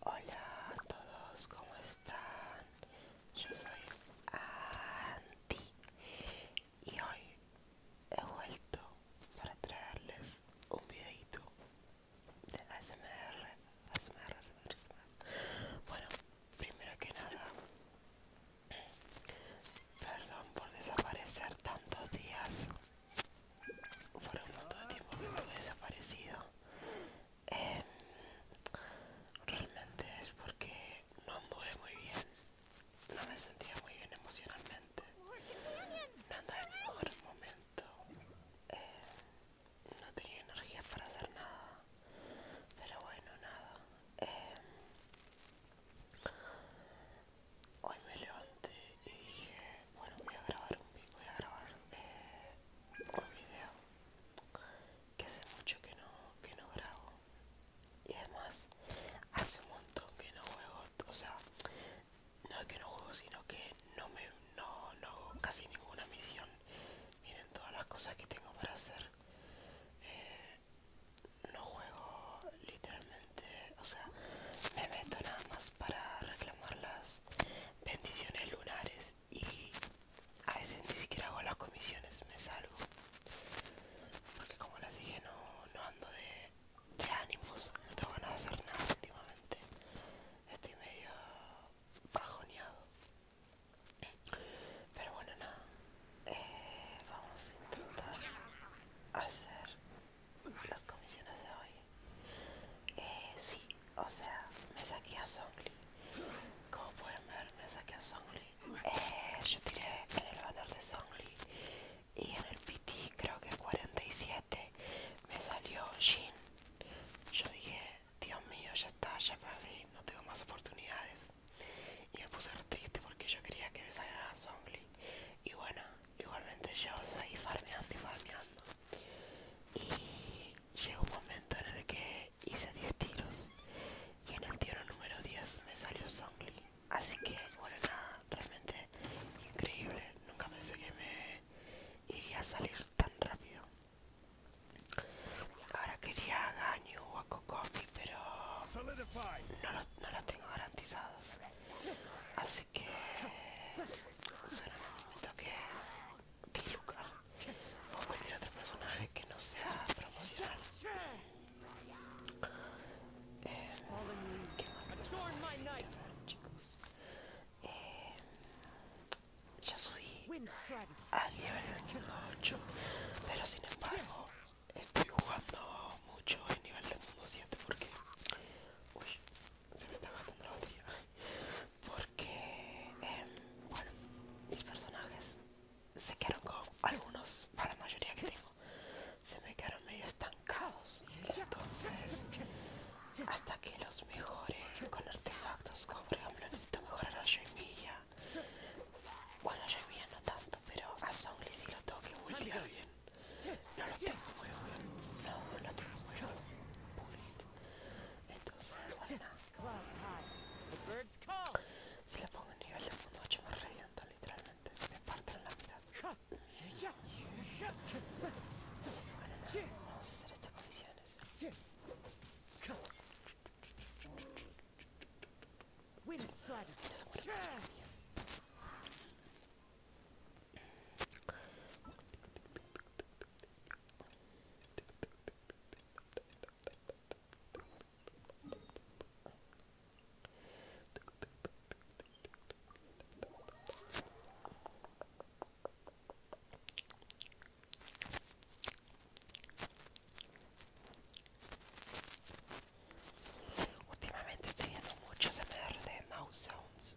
Hola a todos, ¿cómo están? Yo soy anti y hoy he vuelto para traerles un videito de ASMR, ASMR, ASMR, ASMR. Bueno, primero que nada, perdón por desaparecer tantos días por un montón de tiempo que estuve desaparecido em, realmente es porque no anduve muy bien no me sentía muy bien emocionalmente no andaba en el mejor momento em, no tenía energía para hacer nada pero bueno nada em, Hoy me levanté y dije, bueno voy a grabar un pico, voy a grabar eh, un video que hace mucho que no, que no grabo y además hace un montón que no juego o sea no es que no juego sino que no me no, no hago casi ninguna misión miren todas las cosas que tengo para hacer eh, no juego literalmente o sea me meto nada más para reclamarlas bendiciones lunares y a veces ni siquiera hago las comisiones, me salgo Porque como les dije, no, no ando de, ánimos, no tengo a hacer nada últimamente. Estoy medio bajoneado. Pero bueno, nada. Eh, vamos a intentar hacer las comisiones de hoy. Eh, sí, o sea, me saqué a Songli. Como pueden ver, me saqué a Songli. Eh, yo tiré en el banner de Songli y en el PT, creo que 47, me salió Jin. Yo dije, Dios mío, ya está, ya perdí, no tengo más oportunidades. Y me puse triste porque yo quería que me saliera Songli. Y bueno, igualmente yo seguí farmeando y farmeando y llegó un momento en el que hice 10 tiros y en el tiro número 10 me salió Songli así que bueno nada realmente increíble nunca pensé que me iría a salir tan rápido ahora quería a o a pero no las tengo garantizadas así que será un momento que, Luca o cualquier otro personaje que no sea promocional. Eh, chicos. Eh, ya subí a nivel 8, pero sin embargo estoy jugando mucho en nivel mundo 7 porque uy, se me está gastando la batería porque em, bueno mis personajes se quedaron con algunos para la mayoría que tengo se me quedaron medio estancados entonces hasta que los mejore con artefactos como por ejemplo necesito mejorar a Joemilla bueno a no tanto pero a Songli si lo tengo que bien no lo tengo muy bueno, no, no tengo muy bueno, entonces bueno, si le pongo en nivel de me reviento literalmente, me parten la mirada. Bueno, no, vamos a hacer estas condiciones. Últimamente estoy viendo muchos MR de mouse sounds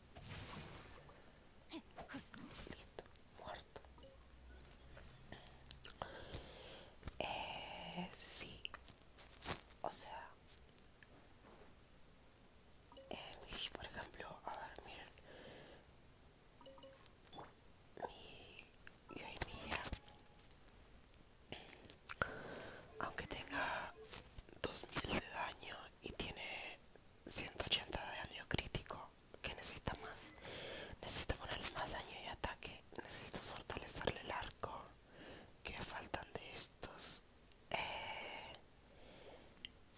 Listo, muerto. Eh, sí, o sea, eh, por ejemplo, a ver, y aunque tenga 2000 de daño y tiene 180 de daño crítico, que necesita más necesito ponerle más daño y ataque necesito fortalecerle el arco que faltan de estos eh,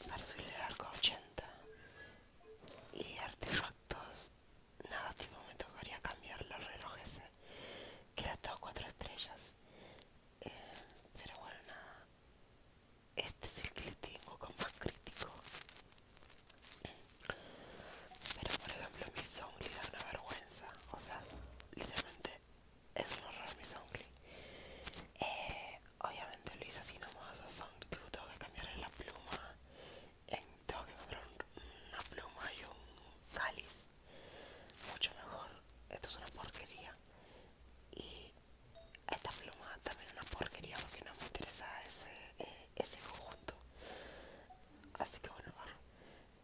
para subirle el arco 80 y artefactos nada tipo me tocaría cambiar los relojes eh, que era todo 4 estrellas será eh, pero bueno este es el que le tengo con más crítico. Pero por ejemplo mi Songli da una vergüenza. O sea, literalmente es un horror mi Songli. Eh, obviamente lo hice así nomás a Songli. tengo que cambiarle la pluma. Eh, tengo que comprar una pluma y un cáliz. Mucho mejor. Esto es una porquería y esta pluma también una porquería porque no me interesa ese, eh, ese conjunto así que bueno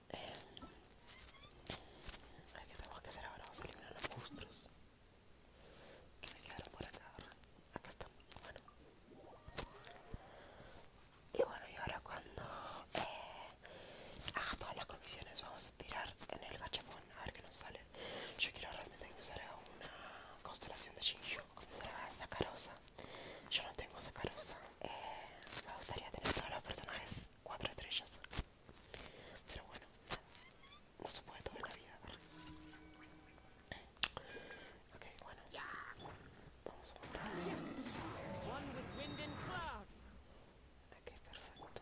eh, ¿qué tenemos que hacer ahora? vamos a eliminar los monstruos que me quedaron por acá acá están, y bueno y ahora cuando eh, haga todas las condiciones vamos a tirar en el gachapón a ver qué nos sale yo quiero realmente usar una constelación de Shinjo, que será Sacarosa. Yo no tengo Sacarosa. Eh, me gustaría tener todos los personajes cuatro estrellas. Pero bueno, no se puede todo la vida. Ok, bueno. Vamos a montar. Ok, perfecto.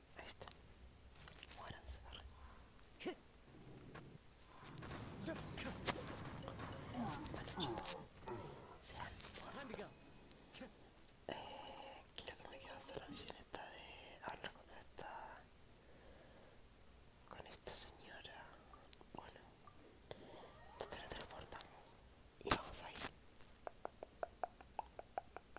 Ahí está. Muéranse, bueno, se sea, eh, quiero que me quede hacer la misión de hablar con esta con esta señora. Bueno, te transportamos y vamos a ir.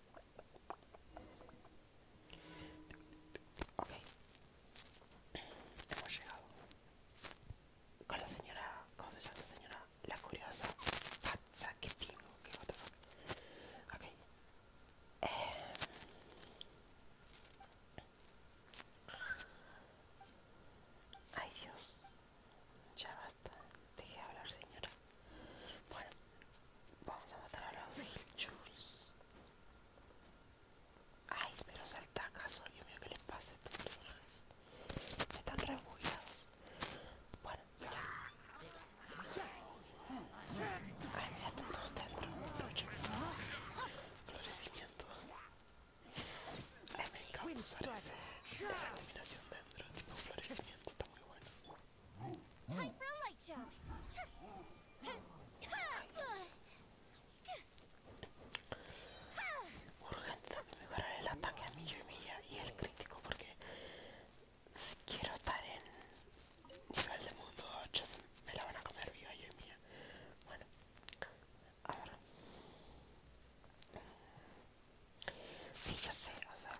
Ok, hemos llegado con la señora, ¿cómo se llama esta señora? La curiosa Patsa que tengo, que what the fuck. Ok, eh, ay Dios, ya va Dejé de hablar, señora. Bueno, vamos a matar a los Hilchurls. Ay, pero salta acaso, Dios mío, que les pase a estos personajes. Están rebugueados. Bueno, ay, mira, están todos dentro. florecimientos Ay, me encanta usar esa combinación dentro, tipo florecimiento, está muy bueno. Urgente mejorar el ataque a yo y y el crítico porque si quiero estar en nivel de mundo 8 me la van a comer viva yo y mía. Bueno, ahora Sí, ya sé, o sea,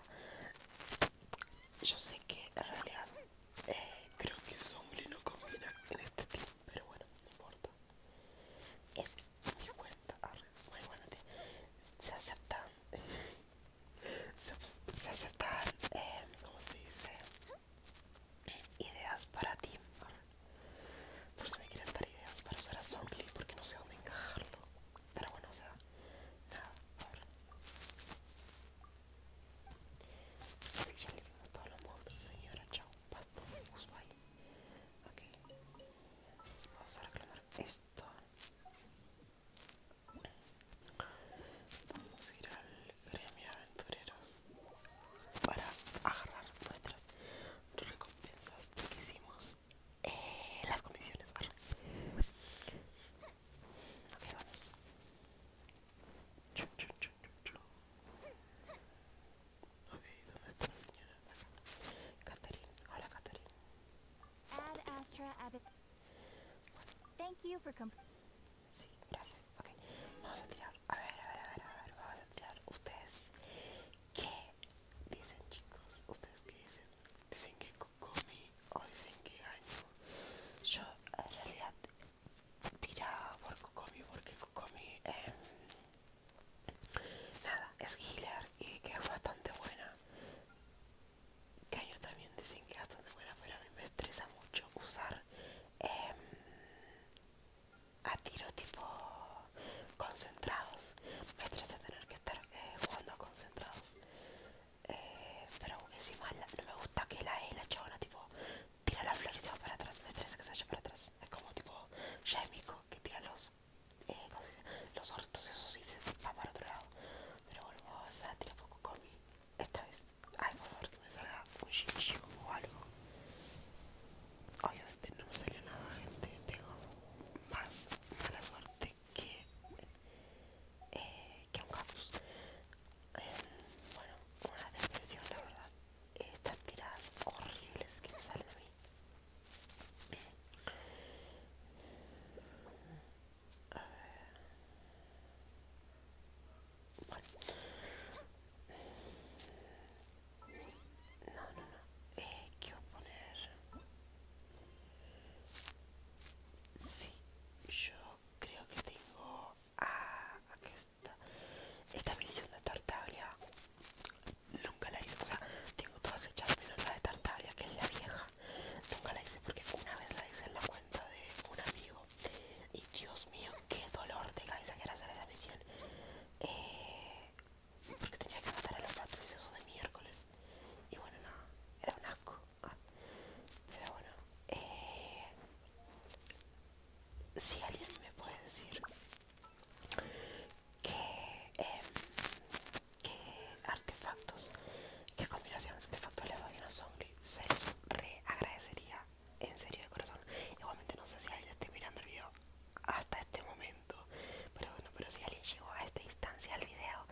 yo sé que en realidad eh, creo que su no combina en este team, pero bueno, no importa. Es mi cuenta, muy bueno, se aceptan, se, eh, aceptan, ¿cómo se dice? Ideas para ti, por si me quieren dar ideas para usar a Zombie, porque no sé dónde encajarlo. Pero bueno, o sea, ya señora. Chao, vamos a reclamar esto. Vamos a ir al gremio aventureros para agarrar nuestras recompensas que hicimos eh, las comisiones. Ok, vamos. Ok, ¿dónde está la señora? Catherine, hola Catherine. Astra Thank you for Sí, gracias. Ok, vamos a tirar. A ver, a ver, a ver, a ver. Vamos a tirar. ¿Ustedes qué dicen, chicos? ¿Ustedes qué dicen? Dicen que comí hoy dicen que año yo en realidad tiraba por Kokomi porque Kokomi em, nada es healer y que es bastante buena que ellos también dicen que es bastante buena pero a mí me estresa mucho usar em, a tiro tipo concentrados me estresa tener que estar eh, jugando concentrados pero encima no me gusta que la E, la chabona, tipo, tira la flor y se va para atrás, me estresa que se vaya para atrás, es como tipo químico que tira los, eh, los hortos, eso sí, se va para otro lado, pero bueno, vamos a tirar poco con esta vez, hay por favor que me salga un chicho o algo, obviamente no me salió nada gente, tengo más mala suerte que, eh, un caos em, bueno, una depresión, la verdad. Estas tiradas horribles que me salen a mí. A ver. No, no, no. Eh, quiero poner. Sí, yo creo que tengo. Esta medición de tartaria tartaglia. Nunca la hice. O sea, tengo todas hechas menos la de tartaglia, que es la vieja. Nunca la hice porque una vez la hice en la cuenta de un amigo. Y Dios mío, qué dolor de cabeza que era hacer esa misión. Eh, porque tenía que matar a los y eso de miércoles. Y bueno, no, era un asco. pero bueno, eh, si alguien me puede decir em, que, artefactos, que combinaciones de artefactos le doy a los zombies, se les re agradecería en serio de corazón. Igualmente no sé si alguien esté mirando el video hasta este momento. Pero bueno, pero si alguien llegó a esta instancia al video,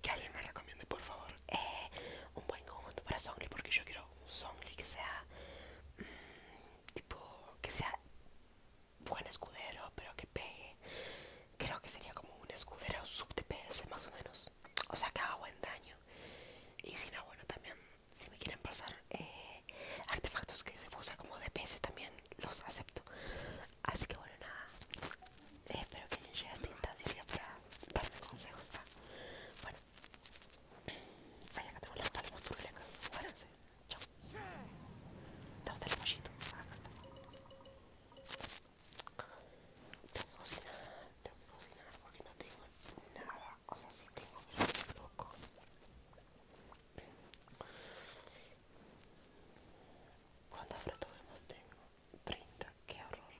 que alguien me recomiende por favor eh, un buen conjunto para songli, porque yo quiero un songli que sea mm, tipo que sea buen escudero, pero que pegue. Creo que sería como un escudero sub DPS más o menos. O sea, que haga buen daño. Y si no, bueno, también si me quieren pasar eh, artefactos que se usa como DPS también, los acepto. Así que bueno, nada. Eh, espero que hayan llegue hasta este para darme consejos. bueno, ahí acá tengo las palmas turbulentas. Muéranse. Chao. a dar el pollito? Tengo que cocinar, tengo porque no tengo nada. O sea, sí tengo un poco. ¿Cuántas fotogramas tengo? 30, qué horror.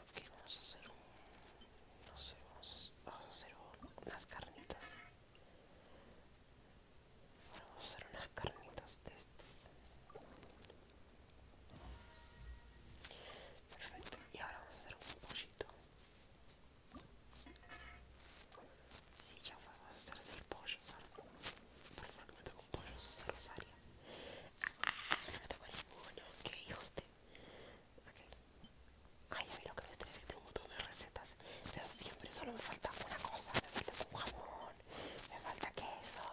Aquí vamos a hacer un. No sé, vamos a, hacer unas carnitas. vamos a hacer unas carnitas de estas. Perfecto, y ahora vamos a hacer un pollito. Si sí, ya vamos a hacerse el pollo, Por favor, me tengo un pollo, Sosa Rosario. Ah, me tengo ninguno, qué hijos de. Ay, a mí lo que me trae es que tengo un montón de recetas, pero siempre solo me falta una cosa: me falta un jamón, me falta queso,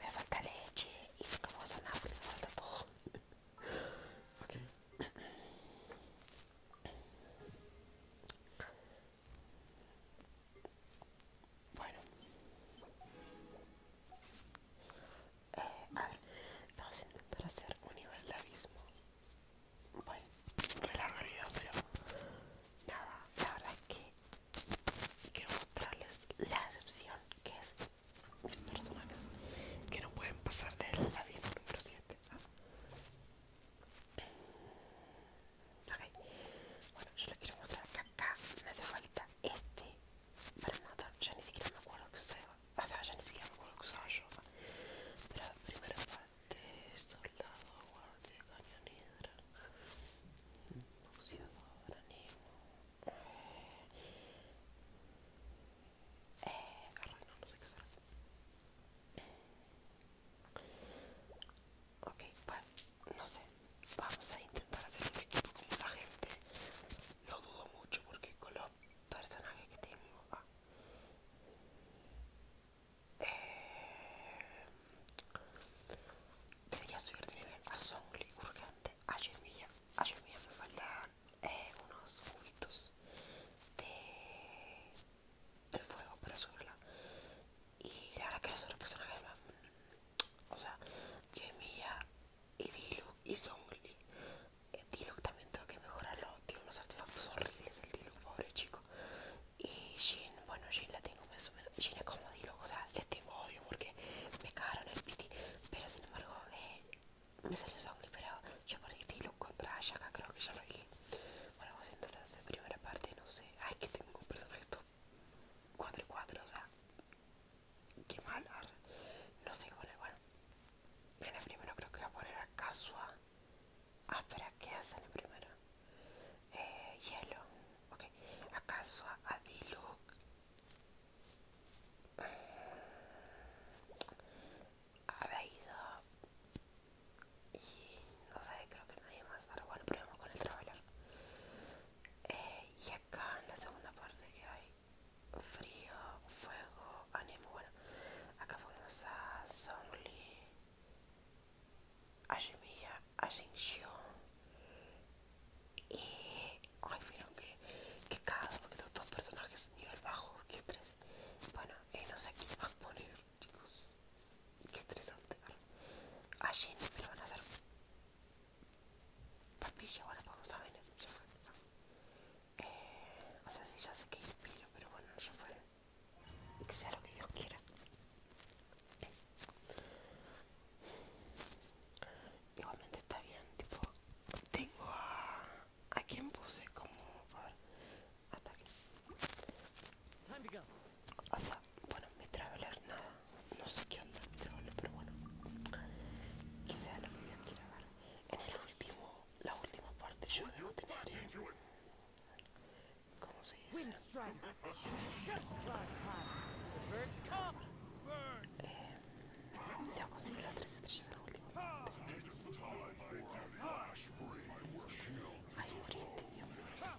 me falta leche, y nunca puedo hacer nada me falta todo. Ok. Bueno, a ver, vamos a intentar hacer un nivel de abismo. Bueno, de largo el pero nada, la verdad es que quiero mostrarles la decepción que es mis personajes que no pueden pasar del abismo número 7. Bueno, yo les quiero mostrar acá me hace falta este Pero Ya ni siquiera me acuerdo que O sea, ya ni siquiera me acuerdo que yo. primera parte, soldado, guardia, eh, no, sé qué será. Ok, bueno, no sé. Vamos a intentar hacer un equipo con la gente. Lo dudo mucho porque con los personajes que tengo. Ah, eh, debería subir de nivel a Songli urgente. A A me faltan eh, unos juguitos de de fuego para subirla. Y la verdad que los otros personajes más... O sea, Yemiya y Diluc y Zongli. Eh, Diluc también tengo que mejorarlo. Tiene unos artefactos horribles el Diluc, pobre chico. Y Jin, bueno, Jin la tengo más menos. Jin es como Diluc, o sea, les tengo odio porque me cagaron el piti. Pero sin embargo, eh, me salió Zongli, pero yo perdí Diluc contra Ayaka, creo que ya lo dije. Bueno, vamos a intentar hacer la primera parte, no sé. Ay, que tengo un personaje estos 4 y 4, o sea. Qué mal, No sé qué bueno. En el primero creo que voy a poner acaso a Casua. Ah, espera, ¿qué hace en el primero? Eh, hielo. Ok. A Casua, a Diluc. A Veido y no sé, creo que nadie más. Ahora bueno, probemos con el traveler. Eh, y acá en la segunda parte que hay frío, fuego, ánimo. Bueno, acá ponemos a Songli, a Jimiya, a Y. Ay, que, que uno porque tengo dos personajes nivel bajo, que tres. Bueno, y no sé quién va a poner chicos. Qué estresante. Allí no me van a hacer. Papilla, bueno, pues, vamos a ver. fue. Eh, o sea, sí, ya sé que pillo pero bueno, ya fue. Que sea lo que Dios quiera. Eh. Igualmente está bien, tipo, tengo a... ¿A quién puse? Como, a ver, ataque. go. sea, bueno, mi traveler nada. No sé qué onda mi traveler, pero bueno. Que sea lo que Dios quiera ver. En el último, la última parte yo debo tener. Eh, ¿Cómo se dice? Eh, debo conseguir las tres estrellas en la última. Ah, Ay, morí, Dios mío.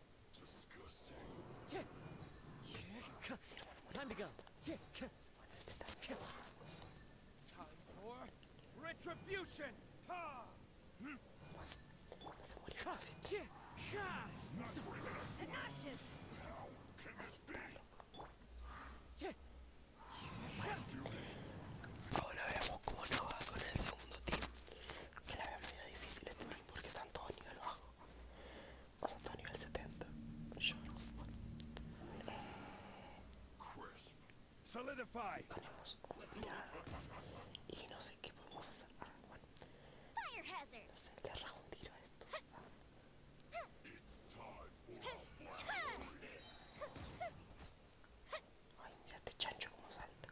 Time to go. Time for retribution. Ha! Tenacious. How can this be? Ahora veamos cómo nos va con el segundo team. se la veo medio difícil este porque están todos a nivel bajo. O todo a nivel 70. Yo no. Bueno. Eh, ponemos un y no sé qué podemos hacer. Ah, bueno. No sé, le rajo un tiro a esto. Ay, mira este chancho como salta.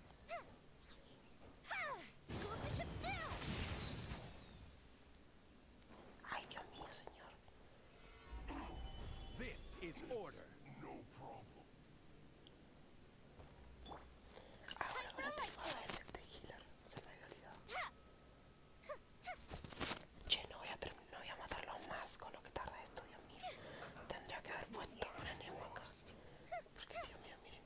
Ay, Dios mío, señor. This is order. No problem. Ahora, ahora tengo a ver este healer. Se me había olvidado. Che, no voy a, no voy a matarlos más con lo que tarda esto, Dios mío. Tendría que haber puesto una enemigo acá. Porque, Dios mío, miren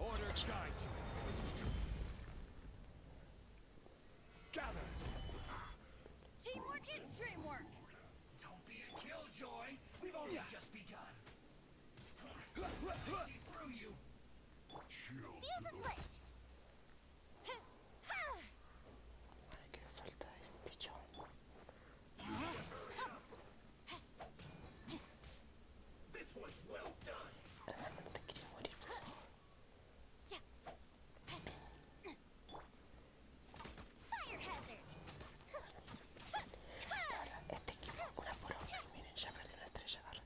Order guide Gather. Teamwork is dreamwork. Don't be a killjoy. We've only just begun. I see is lit. Vale, que falta este chongo. This quería morir, por favor. Ahora, este equipo, una Miren, ya perdí la estrella. Ahora.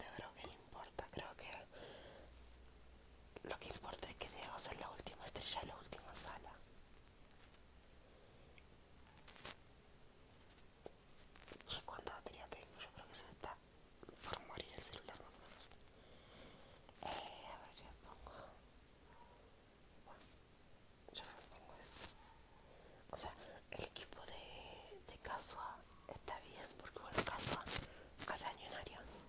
te creo que no importa, creo que lo que importa es que debo ser la última estrella la última sala. Yo cuánta batería tengo, yo creo que se me está por morir el celular más o menos. Eh, a ver, pongo... Bueno, yo pongo O sea, el equipo de, de Casua está bien porque bueno, Casua cada año un Arión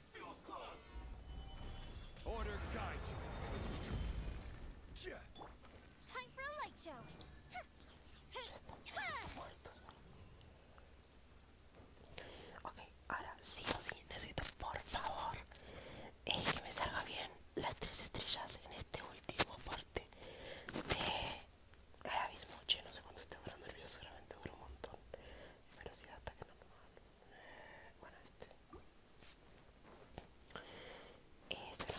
Order guide for show. Ok, ahora sí o sí necesito por favor eh, que me salga bien las tres estrellas en este último parte de Ahora mismo, Che, no sé cuánto estoy volando el video seguramente dura un montón. Velocidad hasta que no bueno este esta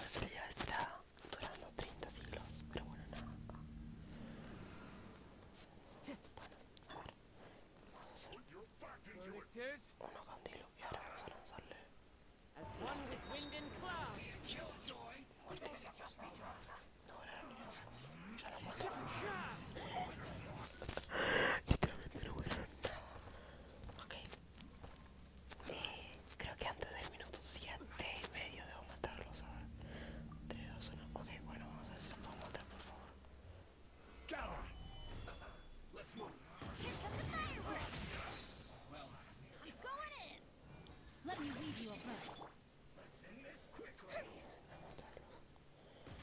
está durando 30 siglos pero bueno nada vamos a uno ahora vamos a lanzarle Ok. Eh, creo que antes del minuto siete y medio debo matarlos. sabes Ok, bueno, vamos a ver si matar, por favor.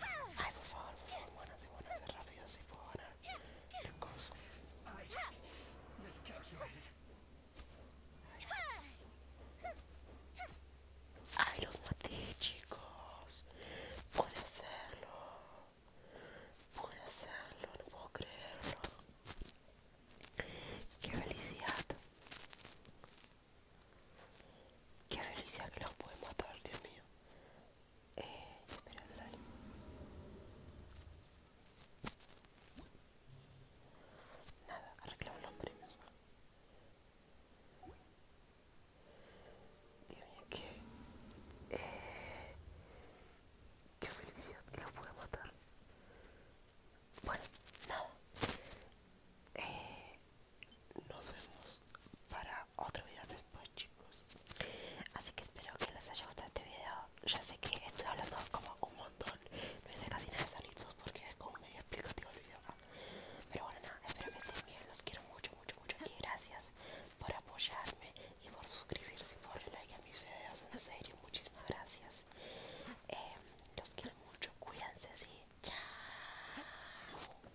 Ay, por favor, por favor, buenas y rápido, así puedo ganar el coso. Ay, los maté, chicos. Puede hacerlo. Pude hacerlo, no puedo creerlo. Qué felicidad. Qué felicidad que los puedo matar, Dios mío eh, espera, vale. Nada, arreglamos los premios. Dios mío, que... Eh, que felicidad que los puedo matar. Bueno, nada. Eh, nos vemos para otro video después chicos así que espero que les haya gustado este video ya sé que estoy hablando como un montón no hice casi nada solitos porque es como medio explicativo el video acá pero bueno nada espero que estén bien los quiero mucho mucho mucho y gracias por apoyarme y por suscribirse y por like a mis videos en serio muchísimas gracias eh, los quiero mucho cuídense sí chao